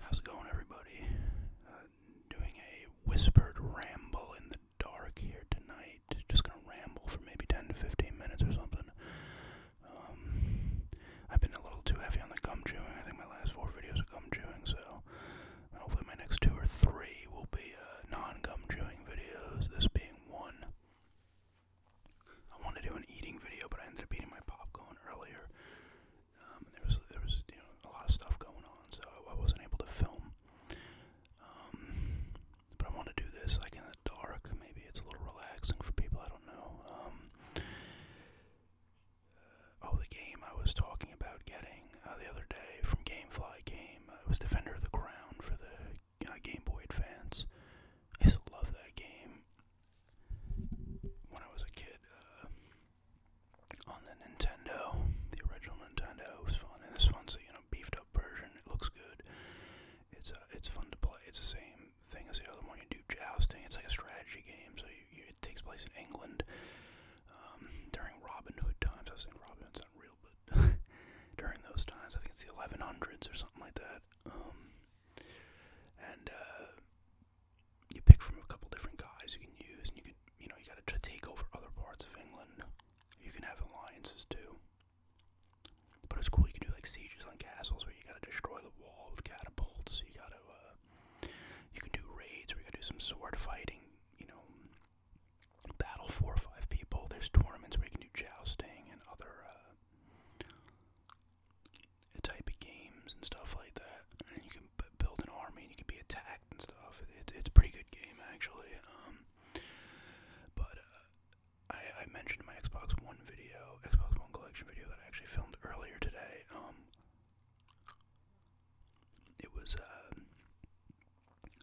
How's it going, everybody? Uh, doing a whispered ramble in the dark here tonight. Just gonna ramble for maybe 10 to 15 minutes or something. Um, I've been a little too heavy on the gum chewing. I think my last four videos are gum chewing, so uh, hopefully my next two or three will be uh, non gum chewing videos. This being one. I wanted to do an eating video, but I ended up eating my popcorn earlier. Um, there was there was a lot of stuff going on, so I, wasn't able to film. Um, but I want to do this like in the dark. Maybe it's a little relaxing for people. I don't know. Um, uh, oh, the game I was talking about getting uh, the other day from GameFly Game. Uh, it was Defender of the Crown for the uh, Game Boy Advance. I used love that game when I was a kid uh, on the Nintendo, the original Nintendo was fun, and this one's a you know beefed up version. It looks good. It's uh, it's fun to play. It's the same thing as the other one. You do jousting. It's like a strategy game. So you, you, it takes place in England um, during Robin Hood times. I was saying Robin Hood's not real, but during those times, I think it's the 1100s or something like that. Um, and uh, you pick from a couple different guys you can use, and you can, you know, you got to take over other parts of England. You can have alliances too. But it's cool. You can do like sieges on castles where you got to destroy the wall with catapults. You got to, uh, you can do raids where you got to do some sword fighting. You know, battle four or five people. There's tournaments where you can do jousting and other uh, type of games and stuff like that. And you can build an army and you can be attacked and stuff. It, it's a pretty good game actually. Um, but uh, I, I mentioned in my Xbox One video, Xbox One collection video that I actually filmed earlier today. Um, it was uh,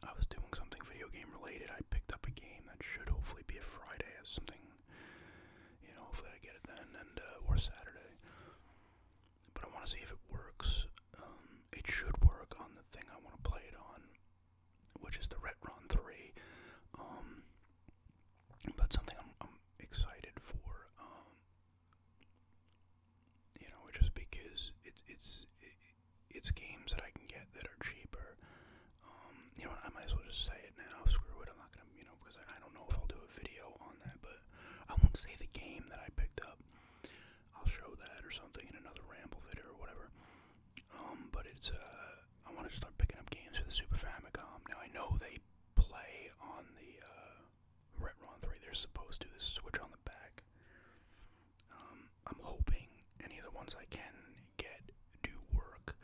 I was doing something video game related. I picked up a game that should hopefully be a Friday as something you know, hopefully I get it then, and uh, or Saturday. But I want to see if it works. Um, it should work on the thing I want to play it on, which is the Retron 3. Um, but something I'm, excited for. Um, you know, just because it's it's it's games that I can get that are cheaper um, you know I might as well just say it now. Screw it, I'm not gonna, you know, because I, don't know if I'll do a video on that, but I won't say the game that I picked up. I'll show that or something in another ramble video or whatever. Um, but it's, uh, I want to start picking up games for the Super Famicom. Now, I know they play on the, uh, Retron 3. They're supposed to. This switch on the back. Um, I'm hoping any of the ones I can get do work.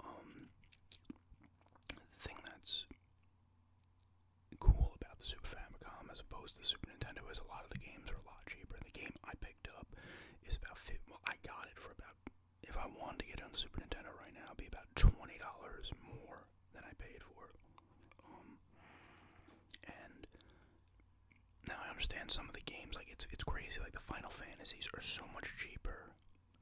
Um, thing that's cool about the Super Famicom as opposed to the Super Nintendo is a lot of the games are a lot cheaper. The game I picked up is about well, I got it for about if I wanted to get on the Super Nintendo right now, be about twenty dollars more than I paid for it. Um, and now I understand some of the games, like it's it's crazy. Like the Final Fantasies are so much cheaper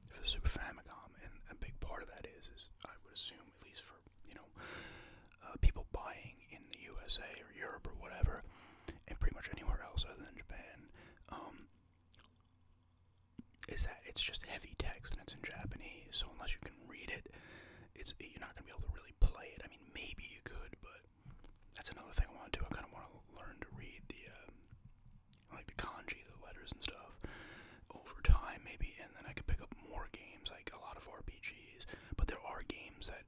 for the Super Famicom, and a big part of that is, is I would assume, at least for you know, uh, people buying in the USA or Europe or whatever, and pretty much anywhere else other than Japan, um, is that it's just heavy text and it's in Japanese. So unless you can read it, it's you're not gonna be able to really play it. I mean, maybe you could, but that's another thing I want to do. I kind of want to learn to read the, um, like the kanji, the letters and stuff, over time maybe, and then I could pick up more games, like a lot of RPGs. But there are games that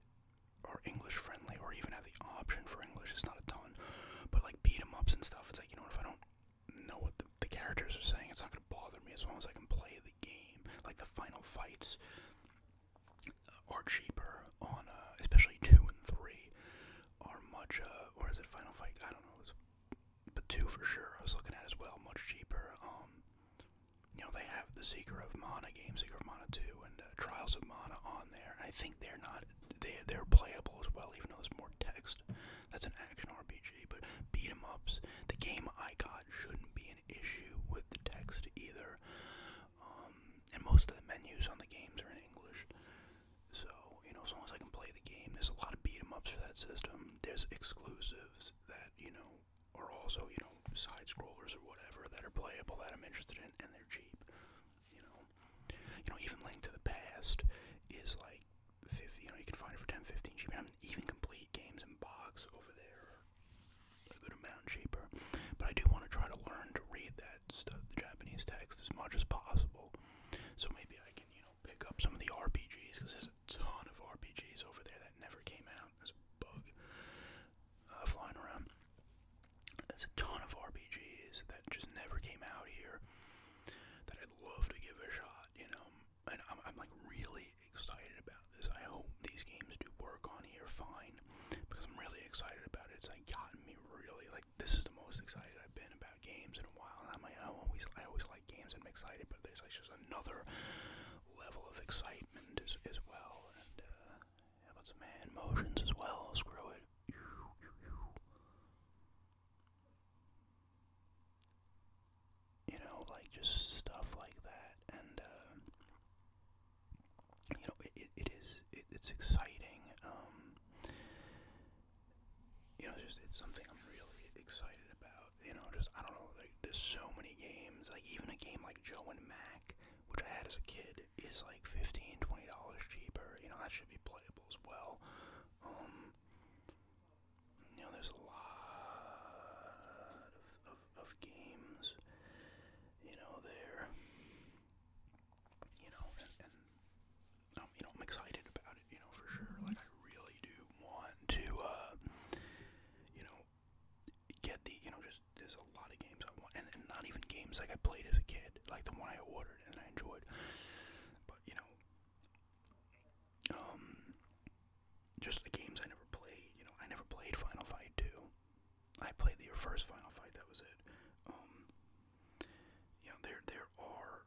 are English friendly, or even have the option for English. It's not a ton, but like beat 'em ups and stuff. It's like you know if I don't know what the characters are saying, it's not gonna bother me as long as I can play the game. Like the final fights, are cheaper on, uh, especially two and three, are much. Uh, or is it Final Fight? I don't know. but two for sure. I was looking at as well, much cheaper. Um, you know, they have the Seeker of Mana game, Seeker of Mana Two, and uh, Trials of Mana on there. I think they're not. They they're playable as well, even though there's more text. That's an action RPG, but beat 'em ups. The game I got shouldn't be an issue with the text either. Um, and most of the menus on the games are in English. So, you know, as long as I can play the game, there's a lot of beat 'em ups for that system. There's exclusives that, you know, are also, you know, side scrollers or whatever that are playable that I'm interested in and they're cheap. You know. You know, even Link to the Past is like 50, you know, you can find it for 10, 15 cheap. I mean, even complete games in box over there a good amount cheaper. But I do want to try to learn to read that stuff, the Japanese text, as much as possible. So maybe I can, you know, pick up some of the RPGs because there's a ton of RPGs over there that never came out. There's a bug uh, flying around. There's a ton of RPGs that just never came out here that I'd love to give a shot, you know. And I'm, I'm like really excited about I hope these games do work on here fine because I'm really excited about it. It's like gotten me really like this is the most excited I've been about games in a while. I'm like, I always I always like games and I'm excited, but there's like just another level of excitement as, as well. And uh, how about some hand motions as well? Screw it. You know, like just stuff like that, and uh, you know, it, it, it is, it, it's exciting. Um, you know, it's just, it's something I'm really excited about. You know, just, I don't know, like, there's so many games. Like, even a game like Joe and Mac, which I had as a kid, is like $15, $20 cheaper. You know, that should be playable as well. Um, you know, there's a lot of, of of, of games, you know, there, you know, and, and um, you know, I'm excited about it, you know, for sure, like, I really do want to, uh, you know, get the, you know, just, there's a lot of games I want, and, and not even games, like, I played as a kid, like, the one I ordered and I enjoyed, but, you know, um, just the games I never played. You know, I never played Final Fight 2. I played the first Final Fight. That was it. Um, you know, there there are,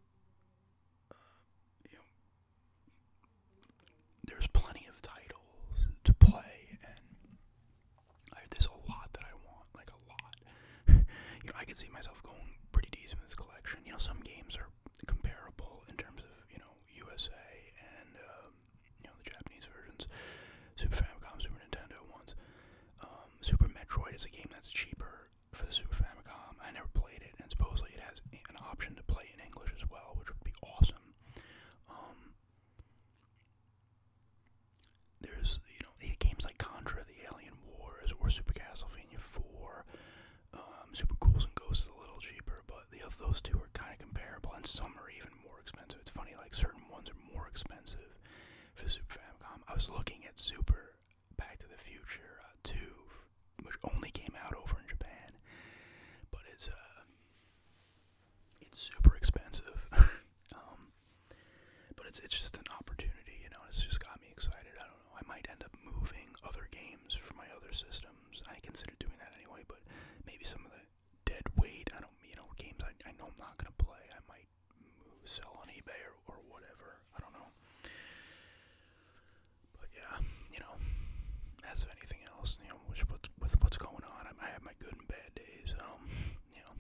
uh, you know, there's plenty of titles to play, and I, this a lot that I want, like a lot. you know, I can see myself going pretty decent in this collection. You know, some games are comparable in terms of you know USA and um, you know, the Japanese versions. Super Famicom, Super Nintendo ones. Um, Super Metroid is a game that's cheaper for the Super Famicom. I never played it, and supposedly it has an option to play in English as well, which would be awesome. Um, there's, you know, games like Contra, The Alien Wars, or Super Castlevania 4. Um, Super Ghouls and Ghosts a little cheaper cheaper, but the those two are kind of comparable, and some are even more expensive. It's funny, like certain ones are more expensive for Super Famicom. I was looking at Super Back to the Future uh, Two, which only came out over in Japan, but it's uh, it's super expensive. um, but it's it's just an opportunity, you know. It's just got me excited. I don't know. I might end up moving other games for my other system items. I consider doing that anyway, but maybe some of the dead weight. I don't, you know, games I, I know I'm not gonna play. I might move, sell on eBay or, or whatever. I don't know. But yeah, you know, as of anything else, you know, with, with what's going on, I, I have my good and bad days. Um, you know,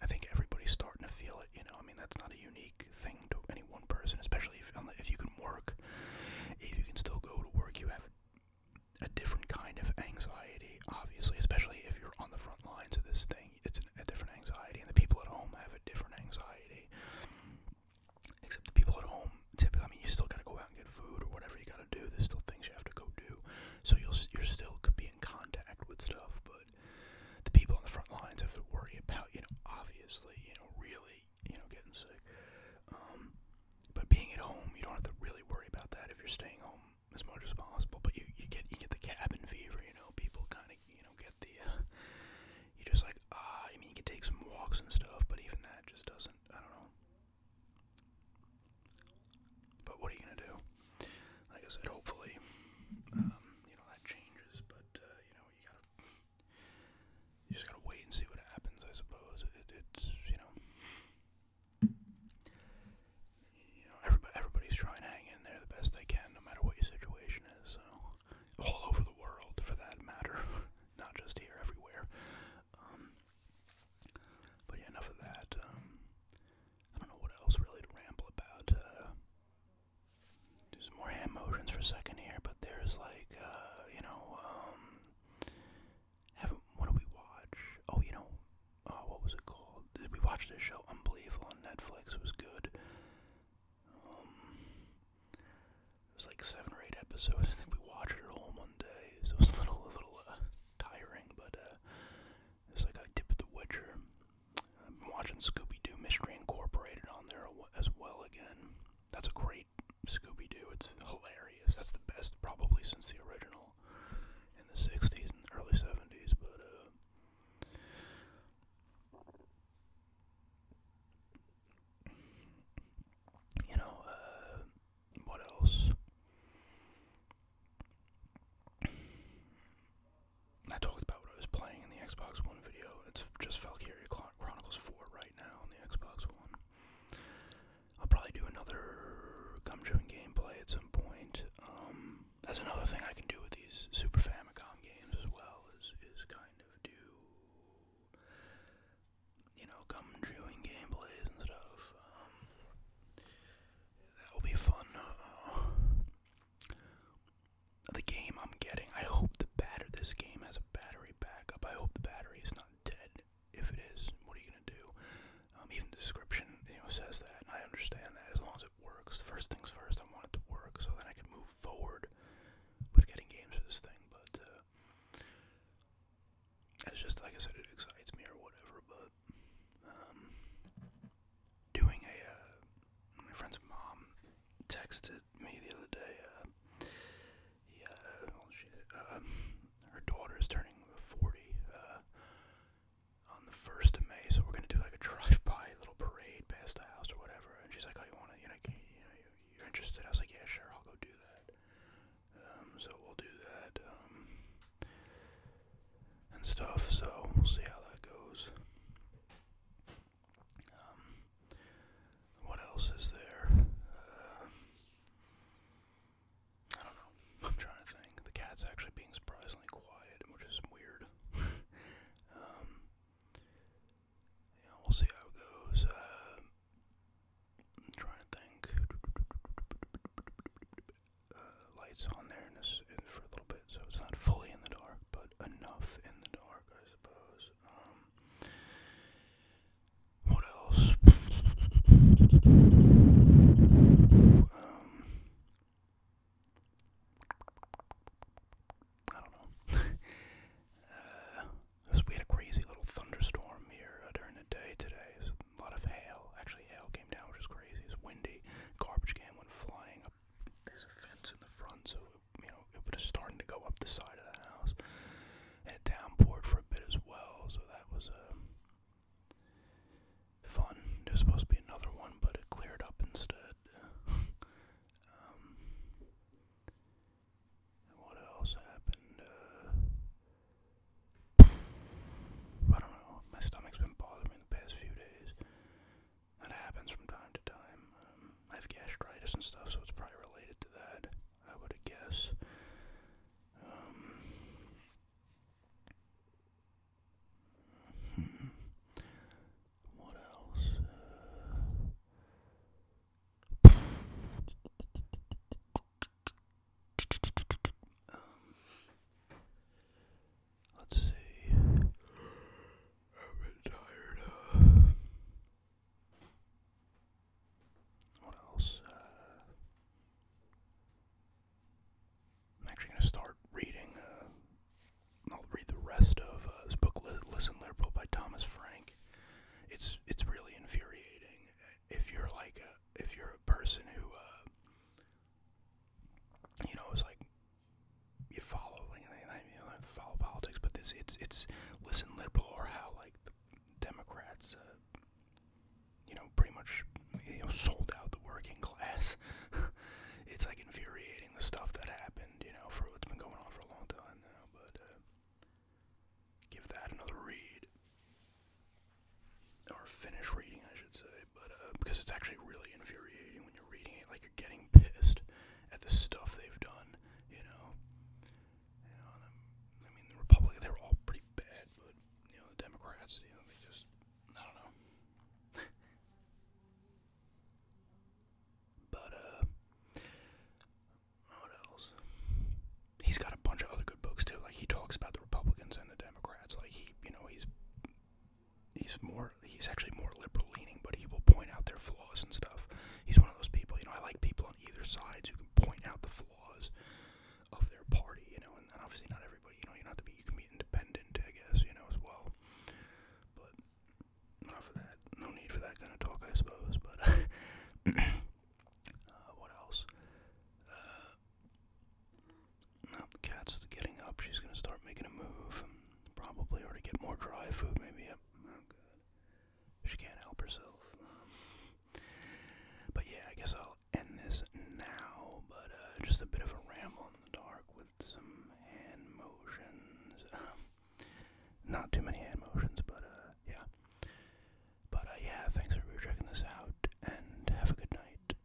I think everybody's starting to feel it. You know, I mean, that's not a unique thing to any one person, especially if if you can work, if you can still go to work, you have a different kind of anxiety, obviously, especially if you're on the front lines of this thing. It's an, a different anxiety, and the people at home have a different anxiety. Except the people at home, typically, I mean, you still gotta go out and get food or whatever you gotta do. There's still things you have to go do, so you'll you're still could be in contact with stuff. But the people on the front lines have to worry about, you know, obviously, you know, really, you know, getting sick. Um, but being at home, you don't have to really worry about that if you're staying home as much as possible. But you, you get you get the cabin fever, you know. People kind of you know get the uh, you just like ah. I mean, you can take some walks and stuff, but even that just doesn't. I don't know. But what are you gonna do? Like I said, hopefully, um, you know that changes. But uh, you know, you gotta you just gotta wait and see what happens, I suppose. it's you know, everybody's trying to hang in there the best they can, no matter what your situation is. So, all over the world, for that matter, not just here, everywhere. Um, but yeah, enough of that. Um, I don't know what else really to ramble about. Uh, do some more hand motions for a second here, but there's like, uh, you know, um, haven't, what do we watch? Oh, you know, uh, what was it called? We watched this show, Unbelievable, on Netflix. It was good. Um, it was like seven or eight episodes. I think we watched it all in one day, so it was a little, a little uh, tiring, but uh, it was like I dip at The Witcher. I've been watching Scooby Doo Mystery Incorporated on there as well again. That's a great Scooby Doo. It's hilarious. That's the best probably since the original in the '60s and early '70s. But uh, you know, uh, what else? I talked about what I was playing in the Xbox One video. It's just Valkyria Chronicles 4 now on the Xbox One. I'll probably do another gum gameplay at some point. Um, that's another thing I can do with these Super Famicom games as well. Is is kind of do you know gum gameplays and stuff. Um, that will be fun. Uh, the game I'm getting. I hope the battery, this game has a battery backup. I hope the battery is not dead. If it is, what are you gonna do? Um, even the description, you know, says that, and I understand that. As long as it works, first things first, I want it to work so then I can move forward with getting games for this thing. But it's uh, just like I said, it excites me or whatever. But um, doing a, uh, my friend's mom texted texted me the other day. Uh, yeah, well, she, uh, her daughter is turning 40 uh, on the 1st of May, so we're going to do like a drive by little parade past the house or whatever. And she's like, Oh, you want to, you know, can, you know, you're interested? I was like, Yeah, sure, I'll go do that. Um, so we'll do that um, and stuff, so we'll see how that goes. Um, what else is there? Uh, I don't know. I'm trying to think. The cat's actually being surprisingly quiet, which is weird. Um, we'll see how it goes. Uh, I'm trying to think. Uh, lights on there, for a little bit, so it's not fully in the dark, but enough in the dark, suppose. Um, what else? Um, I don't know. uh, we had a crazy little thunderstorm here uh, during the day today. a lot of hail. Actually, hail came down, which is crazy. It's windy. Garbage can went flying There's a fence in the front, you know, it was starting to go up the side of the house, and it downpoured for a bit as well. So that was uh, fun. There was supposed to be another one, but it cleared up instead. um, and what else happened? Uh, I don't know. My stomach's been bothering me the past few days. That happens from time to time. Um, I have gastritis and stuff, so it's probably related to that. I would guess. Um, what else? Uh, um, Let's see. I'm a bit tired. what else? Uh, I'm actually going to start reading. Uh, I'll read the rest of uh, this book, "Listen, Liberal" by Thomas Frank. It's it's really infuriating if you're like if you're a person who you know is like you follow politics, but this it's it's listen liberal or how like the Democrats, uh, you know, pretty much you know sold out the working class. it's like infuriating the stuff that happened, you know, for what's been going on for a long time now. But uh, give that another read or finish reading, I should say but uh, because it's actually really infuriating when you're reading it, like you're getting pissed at the stuff they've done, you know. You know I mean, the Republicans, they were all pretty bad, but, you know, the Democrats, you know, they just, I don't know. but, uh, what else? He's got a bunch of other good books, too. Like, he talks about the Republicans and the Democrats. Like, he, you know, he's he's more he's actually more liberal leaning, but he will point out their flaws and stuff. He's one of those people, you know, I like people on either sides who can point out the flaws of their party, you know, and, and obviously not everybody, you know, you have to be you can be independent, I guess, you know, as well. But not for that. No need for that kind of talk, I suppose, but uh, what else? Uh, now the cat's getting up. She's gonna start making a move, probably, or get more dry food. Maybe. Oh, she can't help herself. but yeah, I guess I'll end this now. But uh, just a bit of a ramble in the dark with some hand motions. Not too many hand motions, but uh, yeah. But uh, yeah, thanks for checking this out, and have a good night.